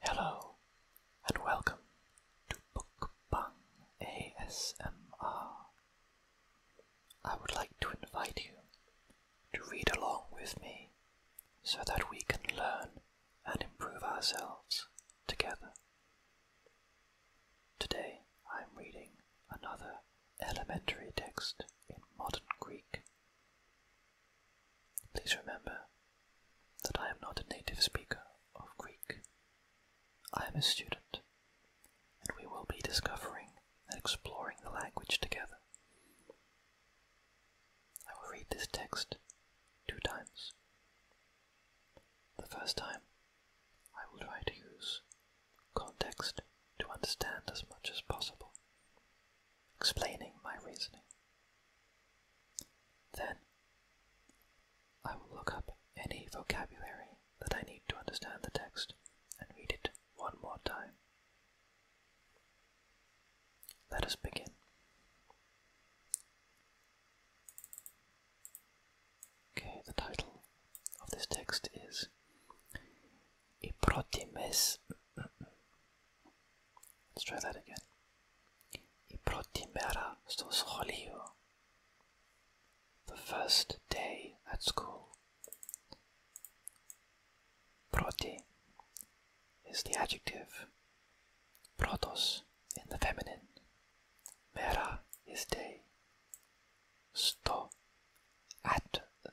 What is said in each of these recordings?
Hello and welcome to Bookbang ASMR. I would like to invite you to read along with me so that we can learn and improve ourselves together. Today I'm reading another elementary text in modern Greek. Please remember that I am not a native speaker of Greek. I am a student, and we will be discovering and exploring the language together. I will read this text two times. The first time, I will try to use context to understand as much as possible explaining my reasoning. Then, I will look up any vocabulary that I need to understand the text and read it one more time. Let us begin. Okay, the title of this text is Iprotimes Let's try that again. I protimera στο σχολείο. The first day at school. Proti is the adjective. Protos in the feminine. Mera is day. Sto at the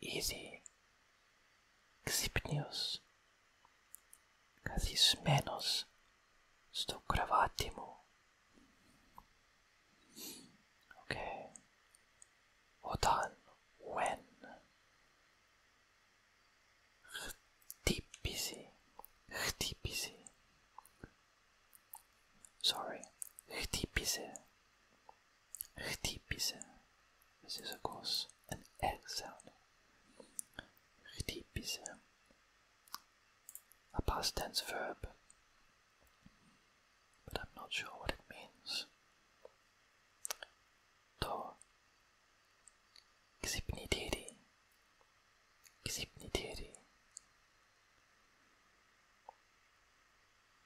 easy. Ksipnius. Kazismenos. Stokravatimo. Okay. Otan. When? Htipisi. Htipisi. Sorry. Htipisi. Χτύπησε. Συζυγός. An een sound. Χτύπησε. A past tense verb. But I'm not sure what it means. Το niet Ξυπνητήρι.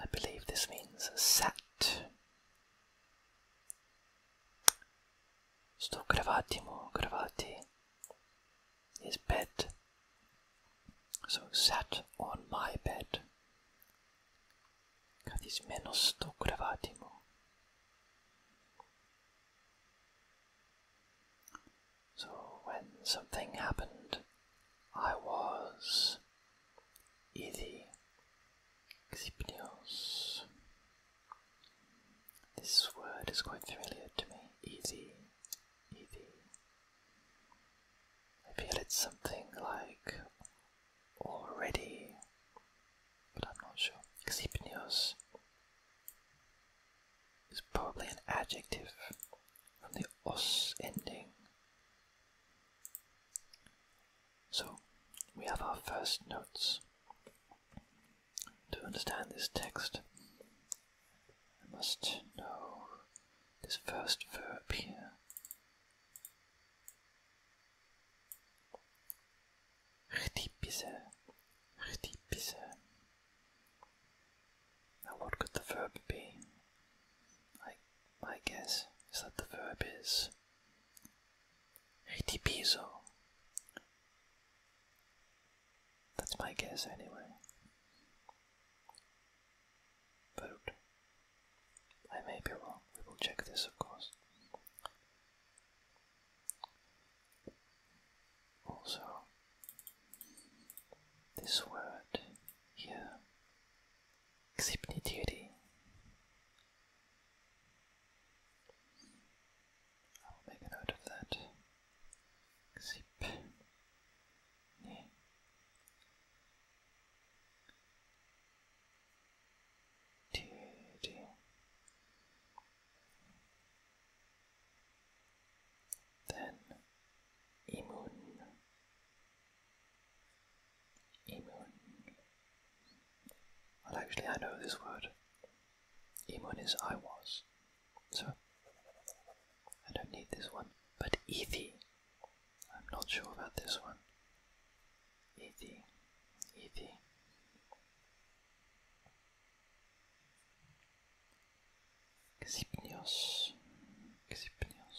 I believe this means sat. Sto kravatimo, kravati bed. So sat on my bed. Kadis menos sto kravatimo. So when something happened, I was ήδη ξυπνίος. This word is quite familiar to me. Ήδη, ήδη. I feel it's something like already, but I'm not sure. Xipnios is probably an adjective from the os ending, so, we have our first notes. To understand this text, I must know this first verb here. Chtipise, chtipise. Now, what could the verb be? my guess is that the verb is Ritipiso. That's my guess anyway. But I may be wrong. We will check this, of course. Also, this word here Xipni duty. I will make a note of that. Xip. Yeah. Then Imun Emun. Well, actually, I know this word. Imun is I was. So, I don't need this one. But Ethi. I'm not sure about this one. Ethi. Ethi. Xipnios. Xipnios.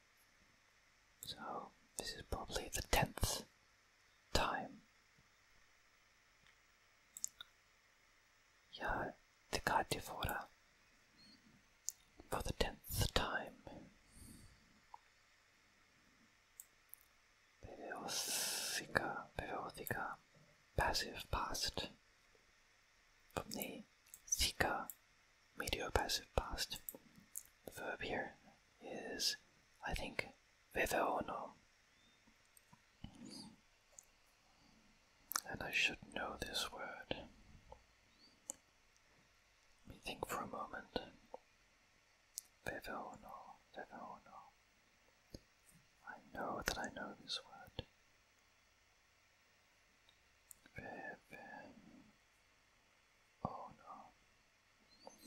So, this is probably the tenth time. Yeah, the Gardevoir for the tenth time. Beveothica, Beveothica, passive past from the Thika Mediopassive past. The verb here is, I think, or no, And I should know this word. Let me think for a moment. Viveono, viveono. I know that I know this word. Vive, Oh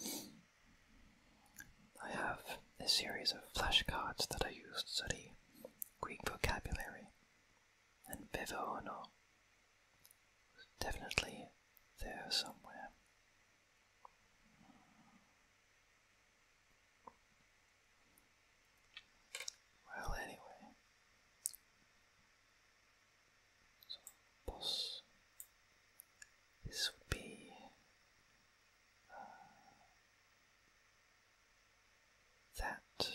no. I have a series of flashcards that I used to study Greek vocabulary, and Bevono was definitely there somewhere. Well, anyway, so boss, this would be uh, that.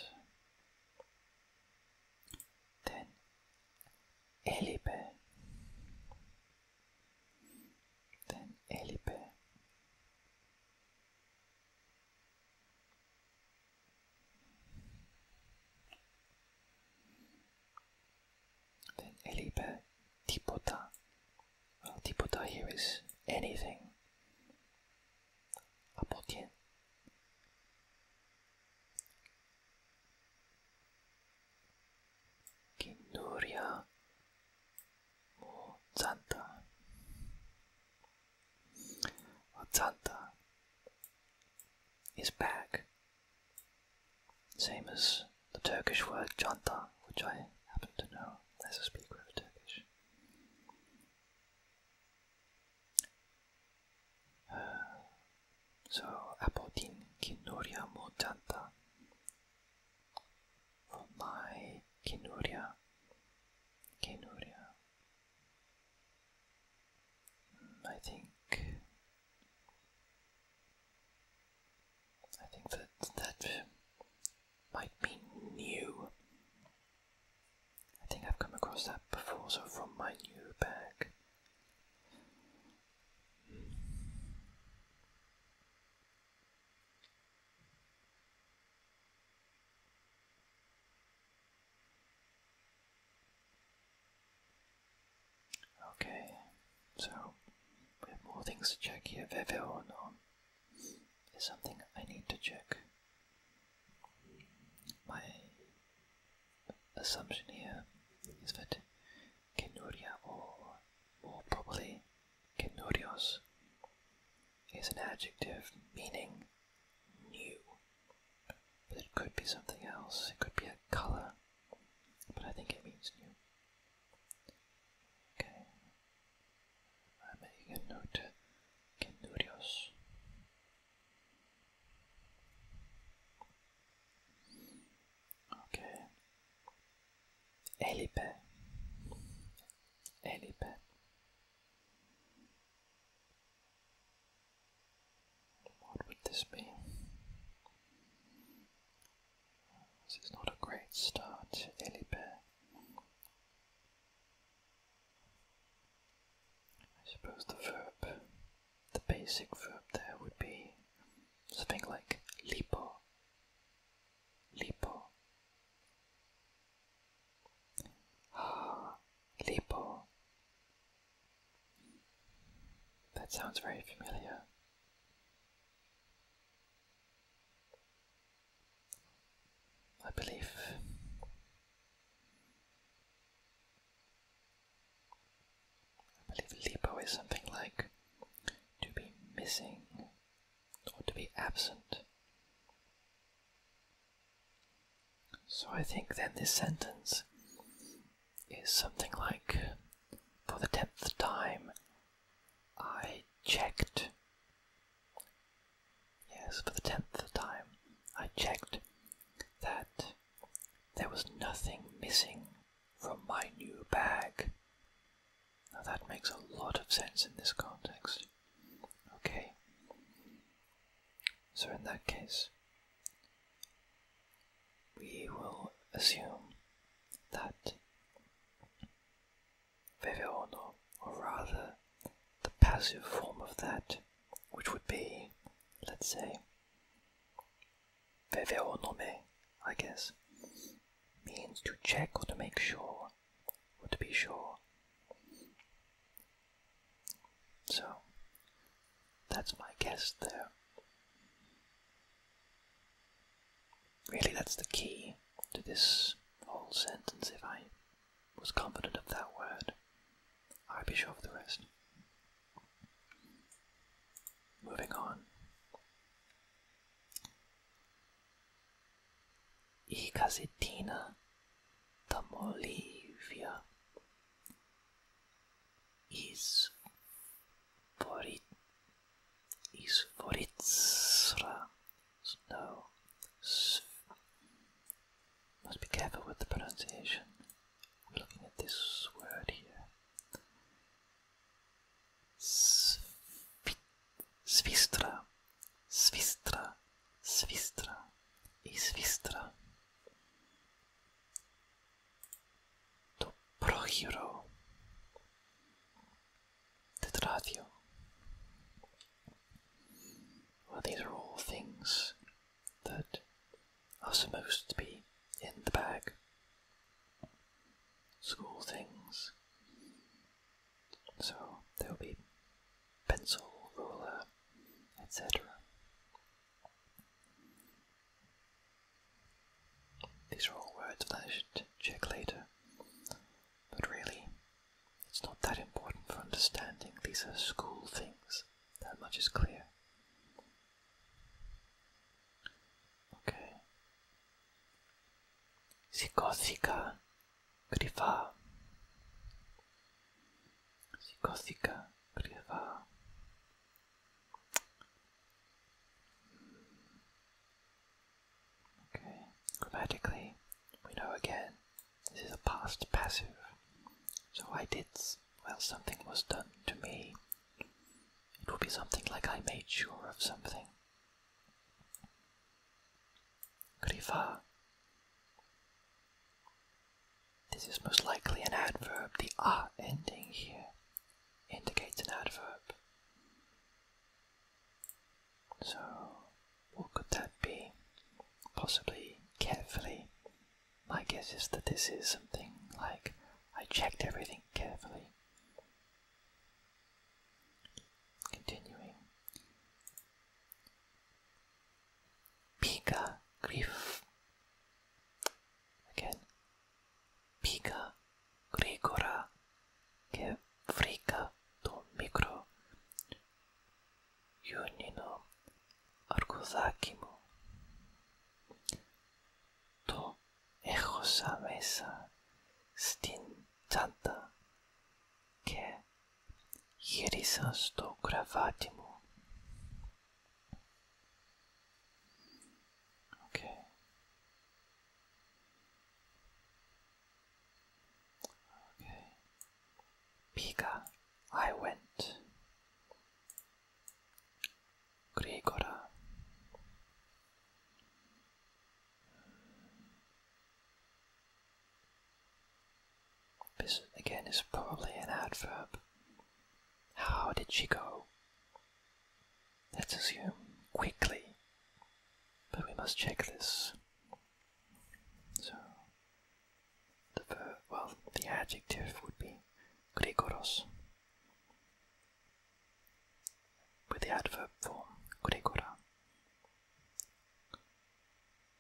Then Elibe, then Elibe. Then Elibe Tipota. Well, Tipota here is anything. Apotien. Kinduria or Zanta. Well, Zanta is back same as the Turkish word janta, which I happen to know as a speaker of Turkish. Uh, so, apotin kinuria mo janta. my kinuria. Kinuria. Hmm, I think I think that that uh, might be new. I think I've come across that before, so from my new bag. Okay, so we have more things to check here. Veveron is something I need to check. My assumption here is that Kenuria, or more probably Kenurios, is an adjective meaning new. But it could be something else, it could be a color but I think it means new. Okay. I'm making a note. Kendurios. Okay. Elipe. Elipe. What would this be? This is not a great start, Elibert. I suppose the verb, the basic verb there would be something like lipo. Lipo. Ah, lipo. That sounds very familiar. I believe. I believe lipo is something like to be missing or to be absent. So I think then this sentence is something like for the tenth time I checked. Yes, for the tenth time I checked that there was nothing missing from my new bag. Now that makes a lot of sense in this context. Okay. So in that case, we will assume that Veveono, or rather the passive form of that, which would be, let's say, me," I guess, means to check or to make sure, or to be sure. So, that's my guess there. Really, that's the key to this whole sentence. If I was confident of that word, I'd be sure of the rest. Moving on. I Casetina da Molivia is for it is for its no must be careful with the pronunciation. I'm looking at this word here. Svistra, svistra, svistra, i svistra to prohiro tetratio. Well, these are all things that are supposed to be in the bag. School things. So there'll be pencil, ruler, etc. These are all words that I should check later, but really, it's not that important for understanding. These are school things, that much is clear. Okay. Psicothica grifa. Psicothica grifa. Okay, grammatically, we know again, this is a past passive. So I did, well, something was done to me. It would be something like I made sure of something. Grifa. This is most likely an adverb. The ah ending here indicates an adverb. So, what could that be? Possibly carefully. My guess is that this is something like I checked everything carefully. Continuing. Pika grief. Again, Πήγα γρήγορα και βρήκα το μικρό γιονινό αρκουδάκι μου. Το έχωσα μέσα στην τσάντα και γύρισα στο κρεβάτι μου. Okay. Okay. Pika, I went. Grigora. This again is probably an adverb. How did she go? Let's assume quickly. But we must check this. So, the well, the adjective would be grigoros, with the adverb form grigora.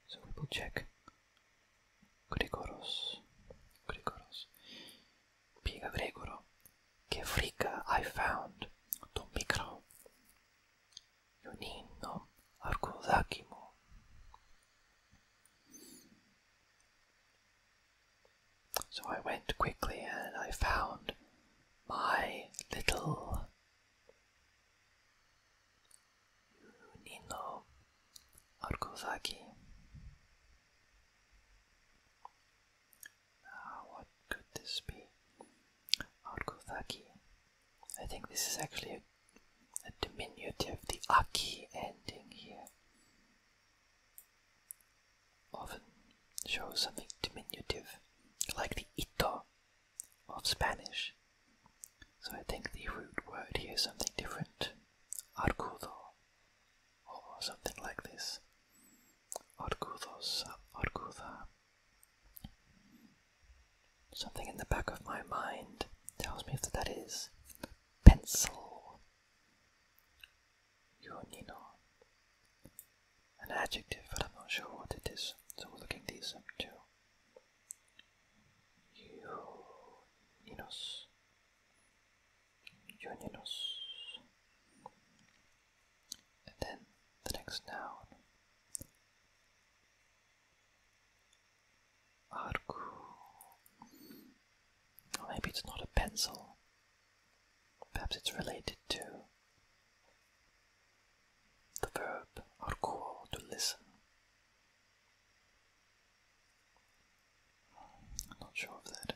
So we will check grigoros, grigoros. Piega Gregoro. Che frica I found, Don Mikro. Yonin So I went quickly and I found my little Nino Arkuzaki. Ah, what could this be? Argothaki. I think this is actually a, diminutive, the aki ending here. Often shows something diminutive, like the ito of Spanish. So I think the root word here is something different. Argudo, or something like this. Orgulhos, orgulha. Something in the back of my mind tells me that that is pencil. Yonino. An adjective, but I'm not sure what it is, so we're looking these up too. Yoninos. Uninos. And then the next noun Arcu. maybe it's not a pencil. Perhaps it's related to the verb arcuo, to listen. not sure of that.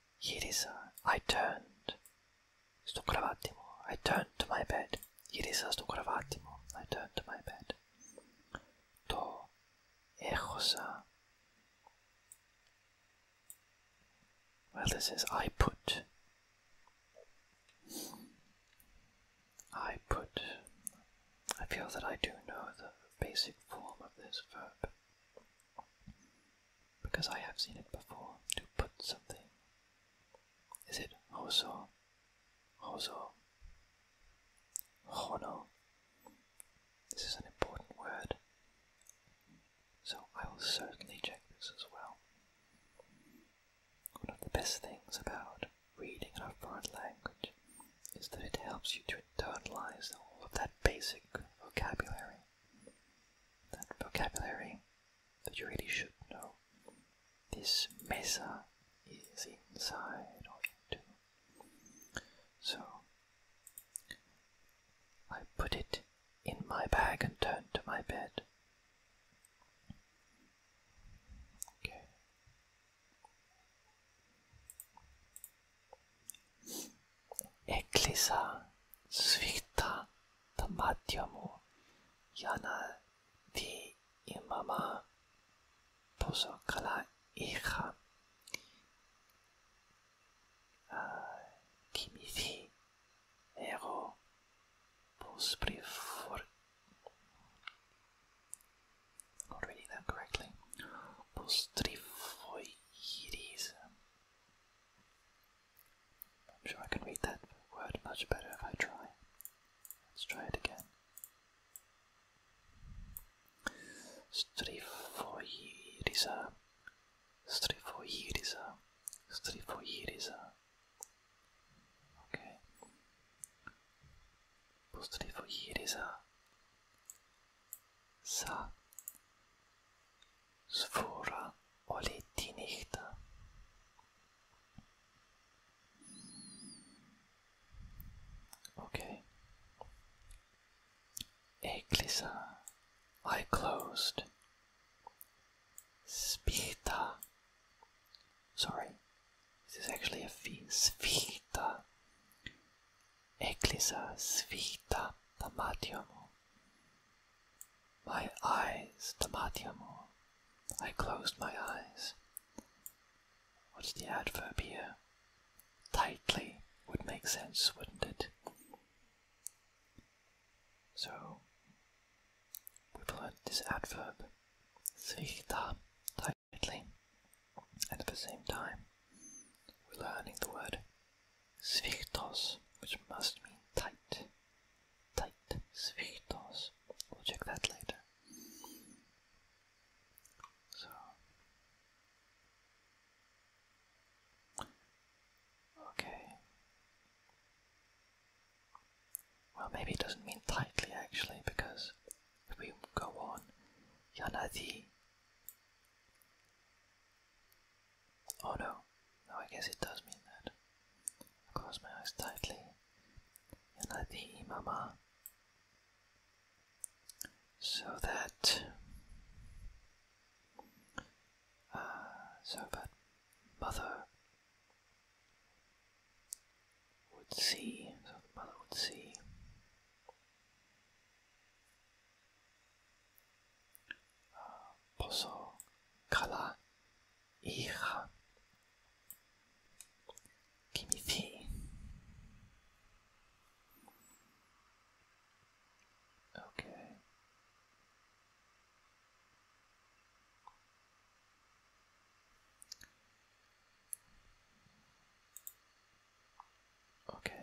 Yirisa, I turned. Stokravatimo, I turned to my bed. Yirisa Stokravatimo, I turned to my bed. To echosa. Well, this is I put. I put. I feel that I do know the basic form of this verb because I have seen it before, to put something. Is it hoso, hoso, hono? This is an important word, so I will certainly check this as well. One of the best things about reading in a foreign language is that it helps you to internalize all of that basic vocabulary that vocabulary that you really should know. This mesa is inside of you So I put it in my bag and turned to my bed. Okay. Ecclesa svicta tamatiomu jana di imama puso kala hija ah, kimisi ego pus not reading that correctly. Postrifoides. I'm sure I can read that word much better if I try. Let's try it again. Strifoirisa. Strifoirisa. Strifoirisa. Okay. Strifoirisa. Sa. Sfora oli die Nächte. Okay. Eglisa, I closed. Spita. Sorry, this is actually a fee. Svita. Eglisa, svita, damatium. My eyes, Tamati amor. I closed my eyes. What's the adverb here? Tightly would make sense, wouldn't it? So, we've learned this adverb, svichta, tightly, and at the same time, we're learning the word Sviktos, which must mean tight. Tight. Sviktos. We'll check that later. So. Okay. Well, maybe it doesn't mean tightly actually, because if we go on, Yanadi Oh no, no, I guess it does mean that. I close my eyes tightly and I see, imama so that uh, so that mother would see so the mother would see pozo から hija Kimichi Okay Okay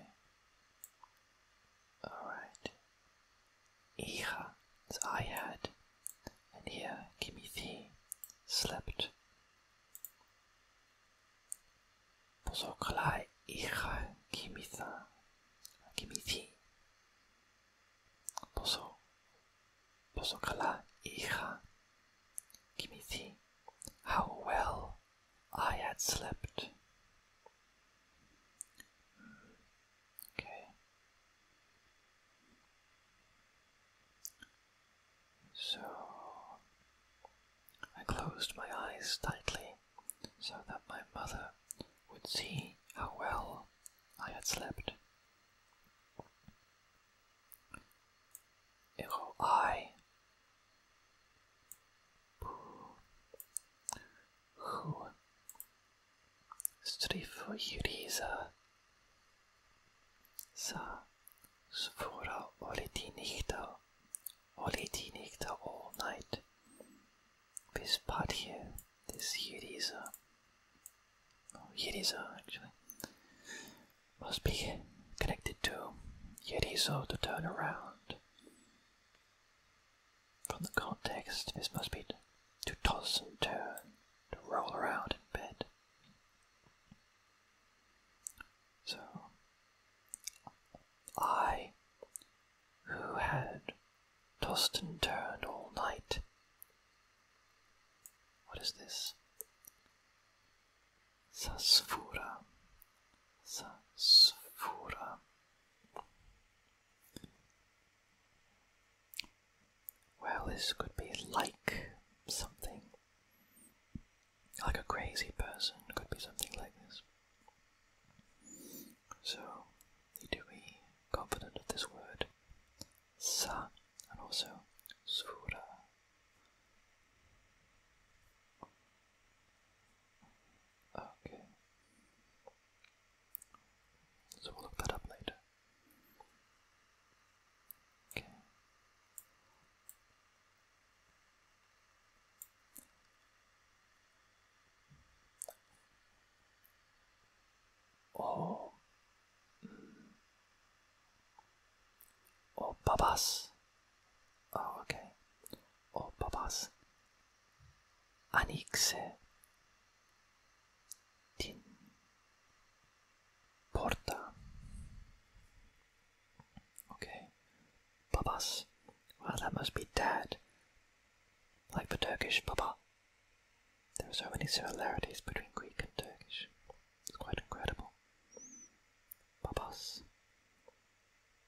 all right Ira, as I had, and here Kimithi slept. Pozokala Ira Kimitha, Kimithi. Pozo, Pozokala Ira Kimithi. How well I had slept. Okay. So I closed my eyes tightly so that my mother would see how well I had slept. I who striffyriser sa svora oleti nihta, oleti nihta all night, vis patie this yiriza, no, yiriza actually, must be connected to yirizo to turn around. From the context, this must be to toss and turn, to roll around in bed. So, I, who had tossed and turned all night, what is this? Sasfura. Sasfura. Well, this could be like something. Like a crazy person, could be something like this. So, need to be confident of this word, sa, and also sura. Ah, okay. So we'll look that up later. Okay. Oh. Mm. Oh, babas. Oh, okay. Oh, babas. Anixe Tin Porta Okay. Babas. Well that must be dad. Like the Turkish Papa. There are so many similarities between Greek and Turkish. It's quite incredible. Papas.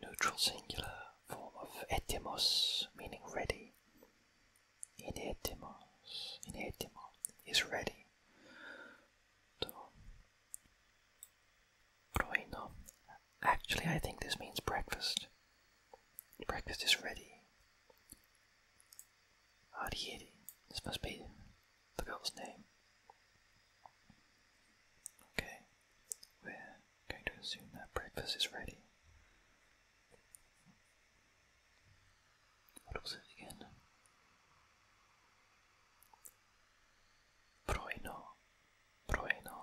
the neutral singular form of etimos, meaning ready. In etymos, in etymo is ready. So, proino. Actually, I think this means breakfast. Breakfast is ready. Arieri. This must be the girl's name. Okay. We're going to assume that breakfast is ready. What was it again? Proino. Proino.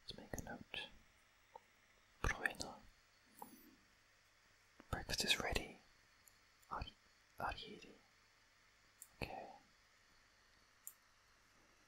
Let's make a note. Proino. Breakfast is ready. Ar- Arieri. Okay.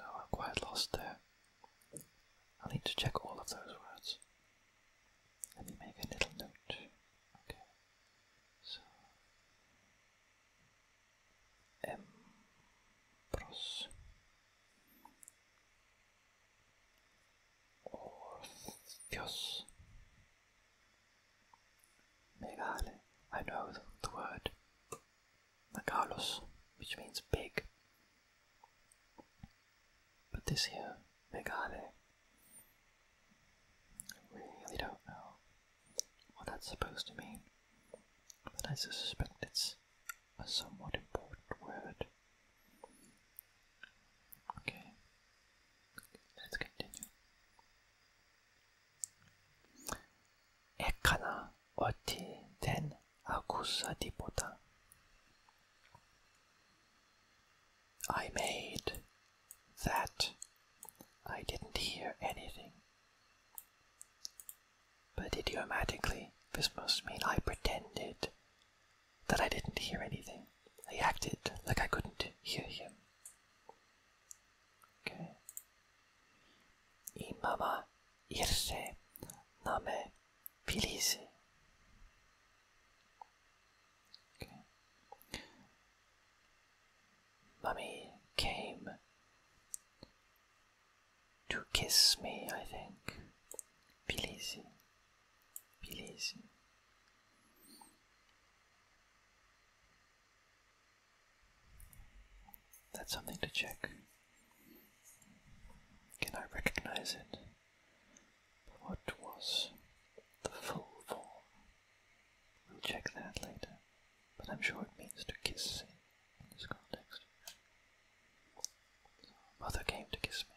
Oh, I'm quite lost there. I need to check all of those words. Let me make a little note. Okay. So Embros Orpheus. Megale. I know the, word. Megalos, which means big. But this here, Megale, I really don't know what that's supposed to mean. But I suspect it's a somewhat important word. Okay, let's continue. 에카나 어티 덴 아쿠사디보다 I made that. I didn't hear anything. But idiomatically, this must mean I pretended that I didn't hear anything. I acted like I couldn't hear him. Okay. Imama irse name pilisi. Okay. Mummy came to kiss me, I think. Pilisi. Please. That's something to check. Can I recognize it? What was the full form? We'll check that later, but I'm sure it means to kiss in this context. mother came to kiss me.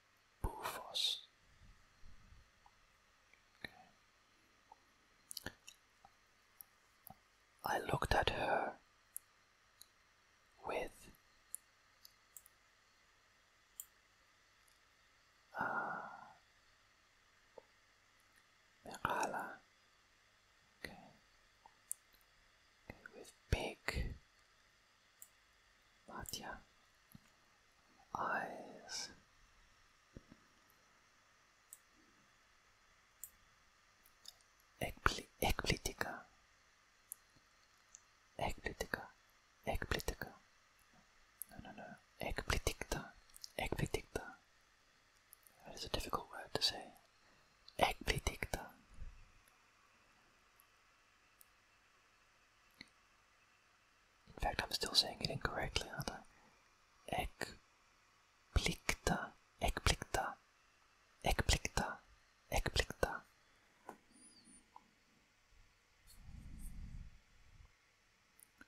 Bufos. I looked at her with uh, Okay. okay. With big Matya eyes. Εκπληκτικά. Εκπληκτικά. Εκπληκτικά. No, no, no. Εκπληκτικά. Εκπληκτικά. That is a difficult word to say. Εκπληκτικά. In fact, I'm still saying it incorrectly, aren't I? Ekplikta, ekplikta, ekplikta, ekplikta.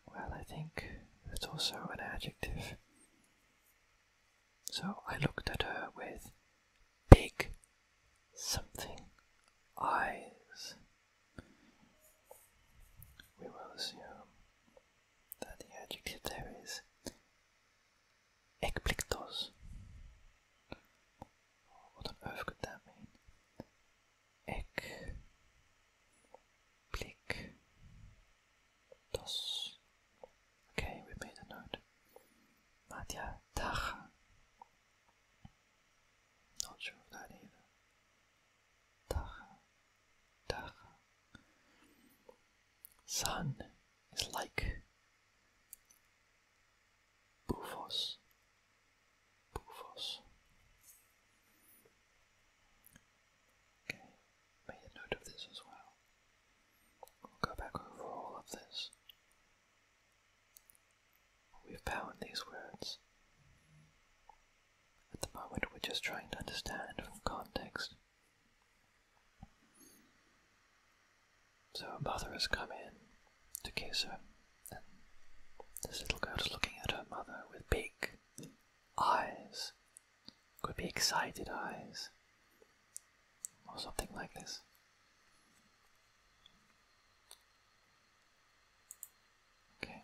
Well, I think that's also an adjective. So I looked at her with big something eyes. we will assume that the adjective there is ekpliktos. What on earth could that mean? Ek plik tos. Okay, we made a note. Madhya Tacha Not sure of either. Taha, Taha. Sun is like Bufos, Bufos. Okay, made a note of this as well. We'll go back over all of this. We have power these words. At the moment, we're just trying to understand from context. So her mother has come in to kiss her, and this little girl is looking at her mother with big eyes. Could be excited eyes, or something like this. Okay,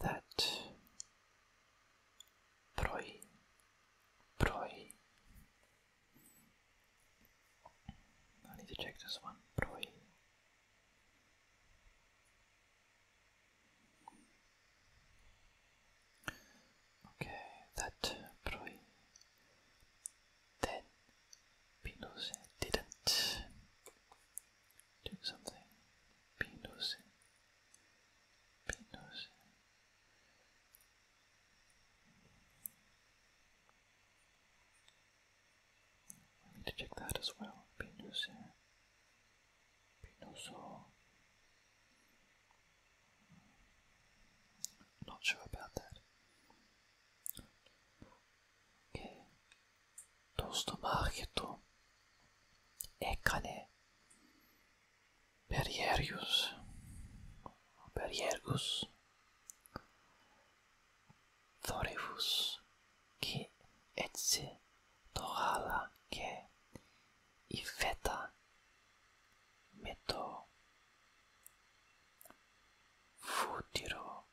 that proi, proi. I need to check this one. Proi. Okay, that proi. Then Pinus didn't do something, be noticing, need to check that as well, be noticing, Not sure about that. Okay, το στομάχι του έκανε περιέργους, περιέργους θόρυβους και έτσι το γάλα και η φέτα με το φούτυρο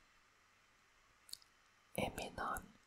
έμειναν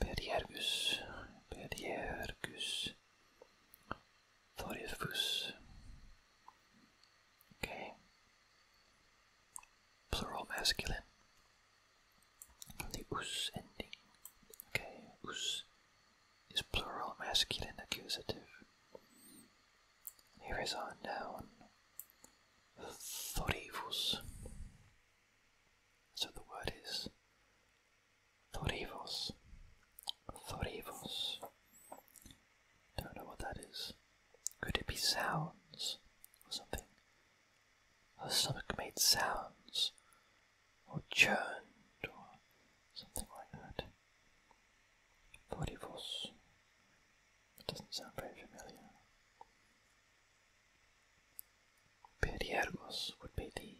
Bergergus, Bergergus, Thorifus. Okay. Plural masculine. The us ending. Okay, us is plural masculine accusative. Here is our noun thorivus. So the word is thorivos. Thorivos. Don't know what that is. Could it be sounds or something? Her stomach made sounds or churned or something like that. Thorivos. doesn't sound very familiar. Periergos would be the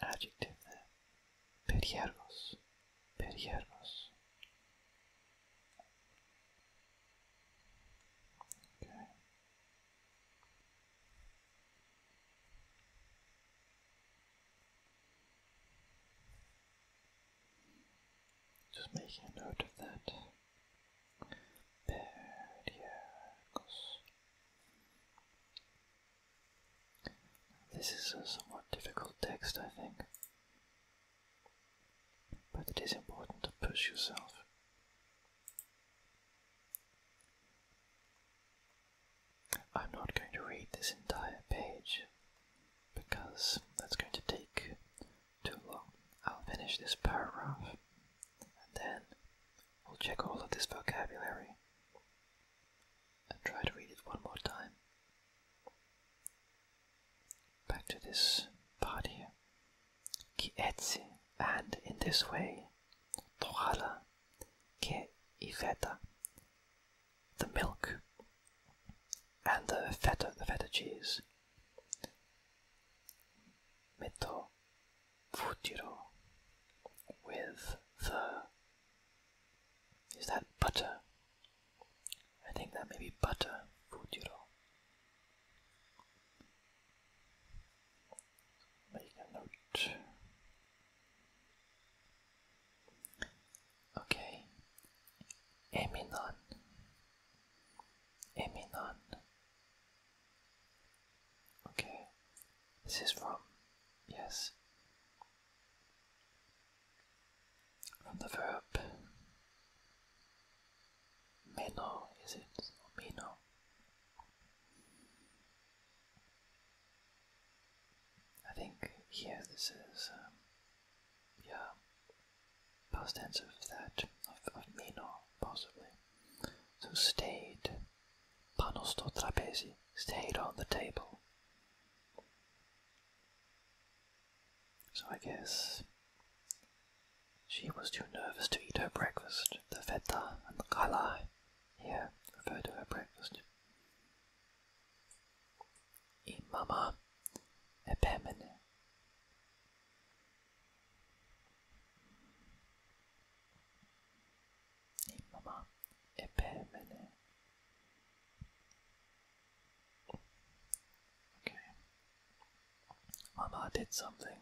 adjective there. Periergos. Okay. Just making a note of that. This is a somewhat difficult text, I think, but it is important to push yourself. I'm not going to read this entire page because that's going to take too long. I'll finish this paragraph and then we'll check all of this vocabulary and try to read it one more time. Back to this part here. Ki and in this way, tohala, ke ifeta, the milk, and the feta, the feta cheese, Meto futuro with the is that butter? I think that may be butter futuro. Make a note. Okay. Eminon. Eminon. Okay, this is from, yes, from the verb meno, is it? Meno. I think here this is, um, yeah, past tense of that, of, of meno, possibly. So stayed, pano trapezi, stayed on the table. So I guess she was too nervous to eat her breakfast. The feta and the kala here refer to her breakfast. In mama epemene. إنما إبهمني Okay. Mama did something.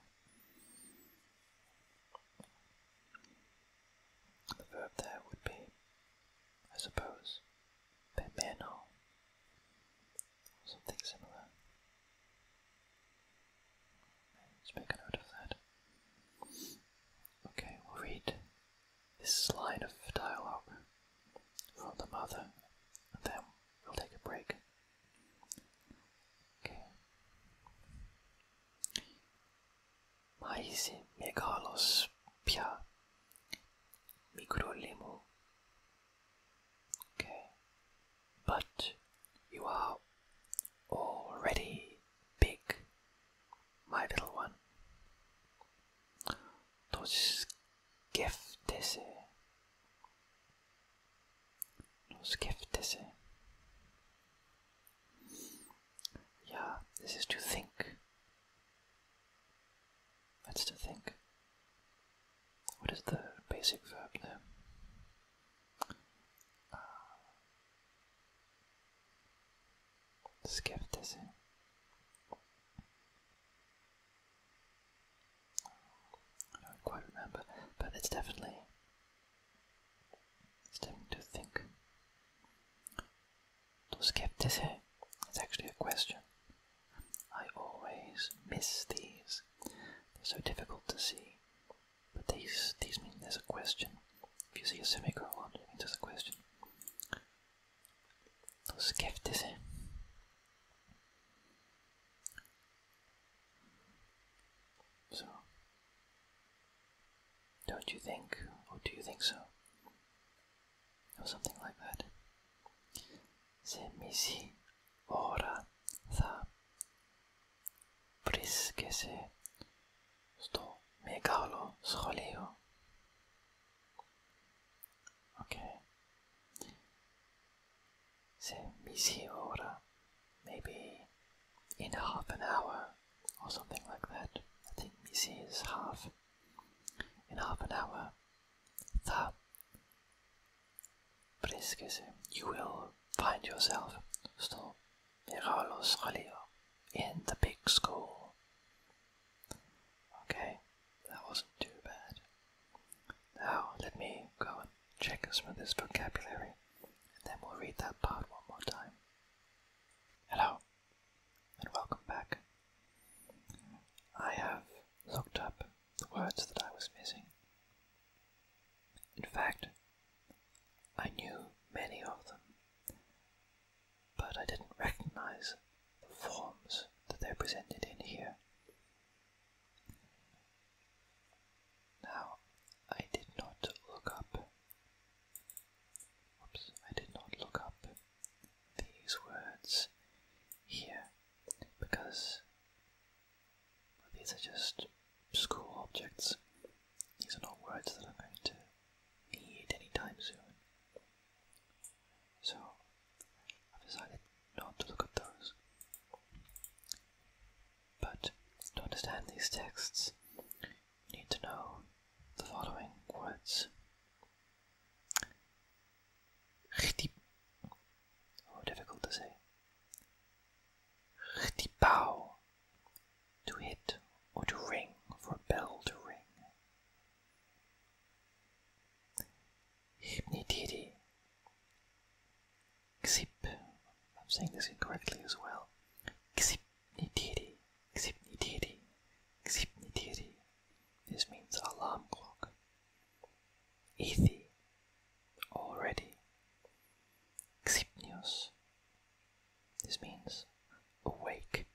The verb there would be, I suppose, pemeno something similar. Let's make a note of that. Okay, we'll read this line of dialogue from the mother, and then we'll take a break. Okay. Maisi megalos pia Okay. But you are already big, my little one. Those giftes. Those giftes. Yeah, this is to think. That's to think. What is the basic verb there? uh, skepticism. I don't quite remember, but it's definitely it's definitely to think. To skepticism. It's actually a question. I always miss these. They're so difficult to see. But these these mean there's a question. If you see a semicolon, it means there's a question. Skepticism. So, don't you think, or do you think so? Or something like that. C'est Missy vara za briskie się στο μεγάλο σχολείο. Okay. Σε μισή ώρα, maybe in half an hour or something like that. I think μισή is half. In half an hour, θα Please you will find yourself στο μεγάλο σχολείο in the big school. Okay, that wasn't too bad. Now let me go and check some of this vocabulary and then we'll read that part one more time. Hello and welcome back. I have looked up the words that I was missing. In fact, I knew many of them, but I didn't recognize the forms that they're presented in here. Now, I did not look up. Oops, I did not look up these words here because these are just school objects. These are not words that I'm going to need anytime soon. So, I've decided not to look at those. But to understand these texts, you need to know the following words. Oh, difficult to say. Chtipau. To hit or to ring, for bell to ring. Hypnitidi. Xip. I'm saying this incorrectly as well. Xipnitidi. Xipnitidi. Xipnitidi. This means alarm clock. Ithi already. Xipnios. This means awake.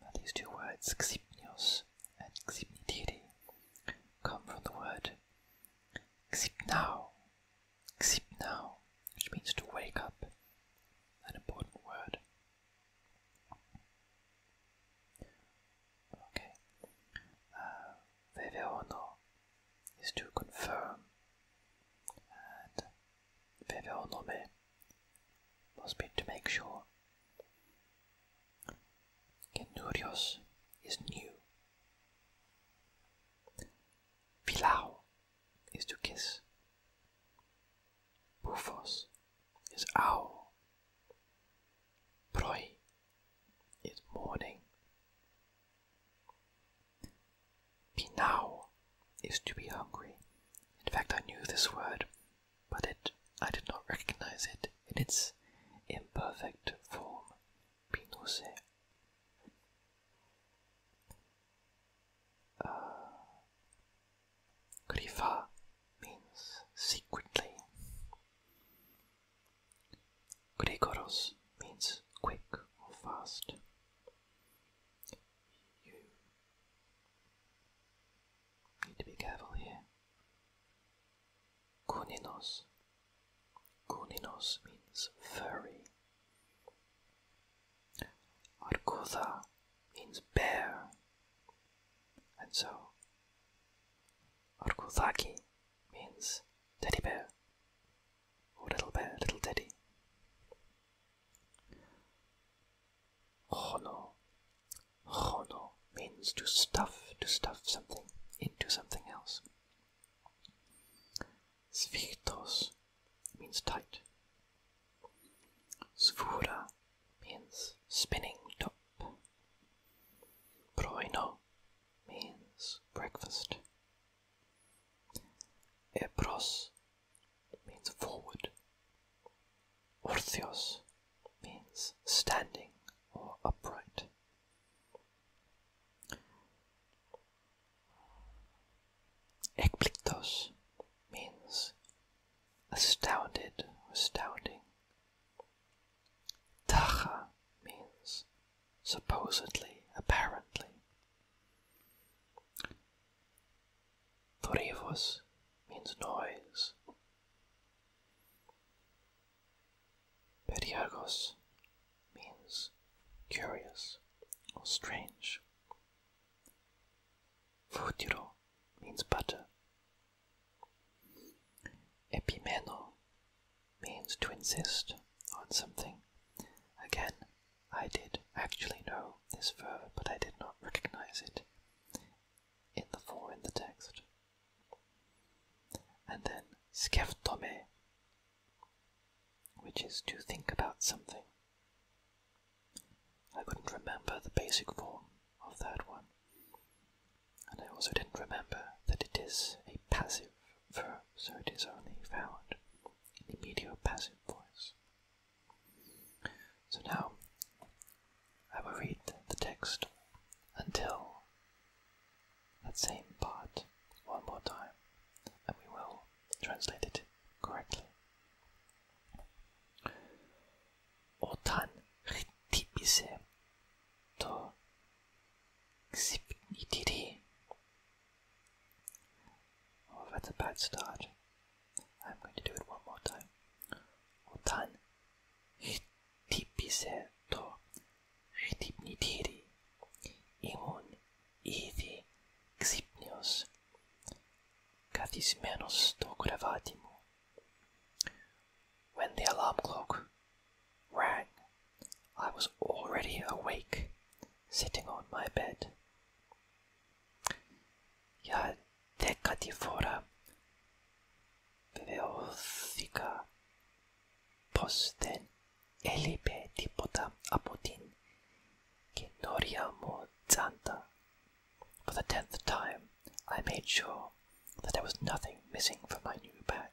Now these two words, xipnios and xipnitiri, come from the word xipnao, xipnao, which means to wake up, an important word. Okay, uh, no is to confirm, and Veveronome must be to make sure. Genurios is new. Pilao is to kiss. Bufos is owl. Proi is morning. Pinao is to be hungry. In fact, I knew this word, but it I did not recognize it in its imperfect form, pinose. Uh, means secretly. Gregoros means quick or fast. You need to be careful here. Kuninos. Kuninos means furry. Argotha means bear. And so, Argothaki means teddy bear little bear, little teddy. Hono. Hono means to stuff, to stuff something into something else. Svichtos means tight. Svura means spinning top. Broino means breakfast. Ebros means forward. Orthios means standing or upright. Ekpliktos means astounded, astounding. Tacha means supposedly, apparently. Torivos means noise. Periagos means curious or strange. Futuro means butter. Epimeno means to insist on something. Again, I did actually know this verb, but I did not recognize it in the form in the text. And then skeftome, which is to think about something. I couldn't remember the basic form of that one, and I also didn't remember that it is a passive so it is only found in the mediopassive voice. So now I will read the text until that same part one more time, and we will translate it correctly. Όταν χτύπησε το ξυπνητήρι Oh, that's a bad start. I'm going to do it one more time. Otan hittipise to hittipnitiri imun ήδη ξύπνιος καθισμένος στο κρεβάτι μου. When the alarm clock rang. I was already awake, sitting on my bed. Ja decatifora veothika πως δεν έλειπε τίποτα από την καινούρια For the tenth time, I made sure that there was nothing missing from my new bag.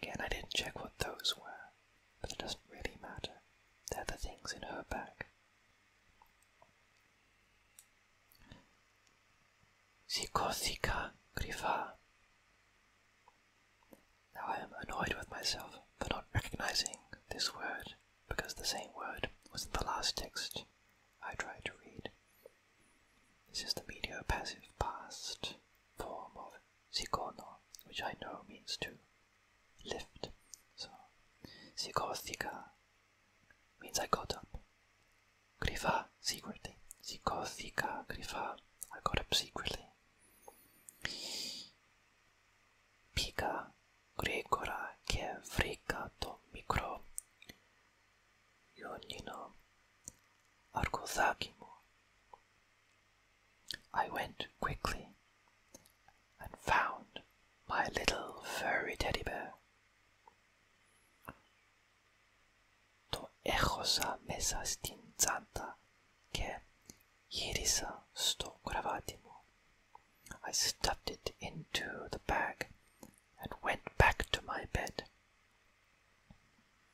Again, I didn't check what those were, but it doesn't really matter. They're the things in her bag. Sikosika grifa. Now I am annoyed with myself for not recognizing this word because the same word was in the last text I tried to read. This is the media passive past form of Sikono, which I know means to lift. So, Sikothika means I got up. Grifa, secretly. Sikothika, Grifa, I got up secretly. Pika, Gregora, Ke, Frika, To, Mikro, Yonino, Arkosaki, I went quickly and found my little furry teddy bear. To echosa mesa stinzanta che irisa sto gravatimo. I stuffed it into the bag and went back to my bed.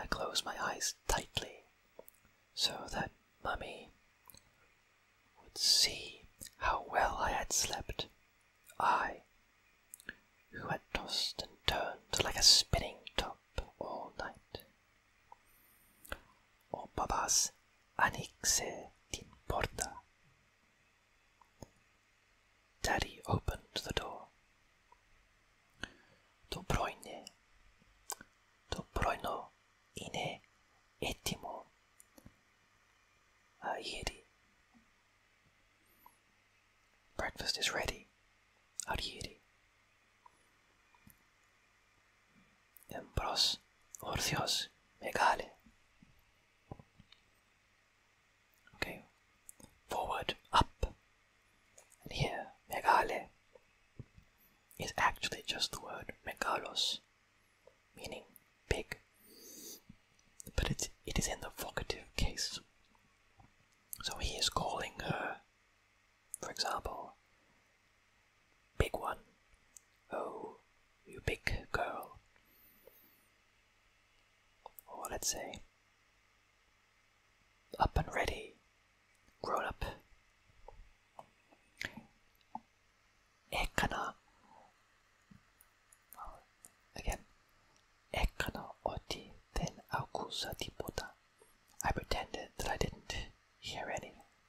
I close my eyes tightly so that Mummy would see how well I had slept. I, who had tossed and turned like a spinning top all night. O babás, Anixe, t'importa? Daddy opened the door. Dobroine, Dobroino, ine, etimo, arieri. Breakfast is ready, arieri. En pros, megale. Okay, forward, up. And here, megale is actually just the word megalos, meaning big. But it, it is in the vocative case. So he is calling her, for example, big one, oh, you big girl. Or let's say, up and ready, grown up. えっかな Again, Ekana Oti then Akusa Dipota. I pretended that I didn't hear anything.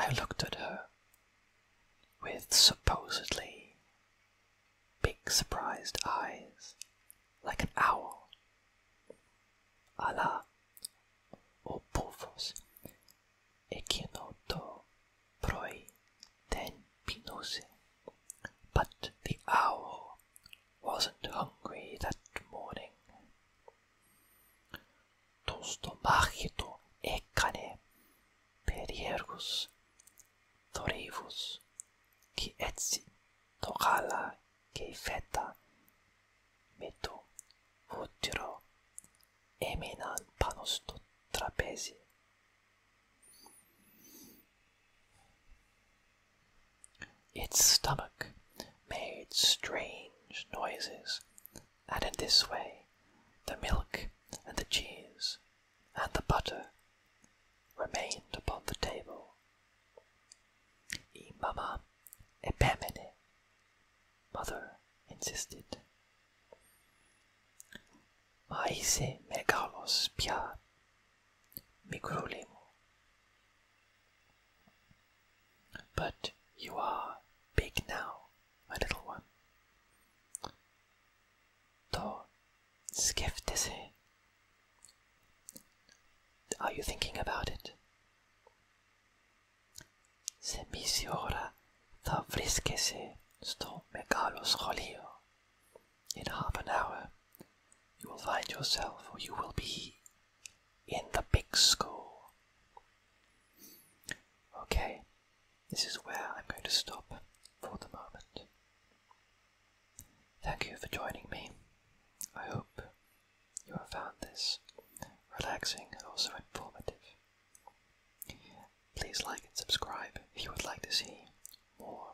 I looked at her with supposedly big surprised eyes, like an owl, a la o Porthos, Echinoto proi ten pinose. But the owl wasn't hungry that morning το στομάχι του έκανε περίεργους θορύβους και έτσι το γάλα και η φέτα με το βούτυρο έμειναν πάνω στο τραπέζι. Its stomach made strange noises and in this way the milk and the cheese and the butter remained upon the table. E mama epemene, mother insisted. Maise megalos pia migrulimo. But you are big now, my little one. Då skifte sig. Are you thinking about it? Se misi ora sto megalos rolio. In half an hour, you will find yourself, or you will be, in the big school. Okay, this is where I'm going to stop for the moment. Thank you for joining me. I hope you have found this relaxing and also informative. Please like and subscribe if you would like to see more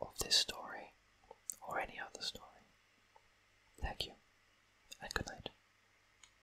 of this story or any other story. Thank you and good night.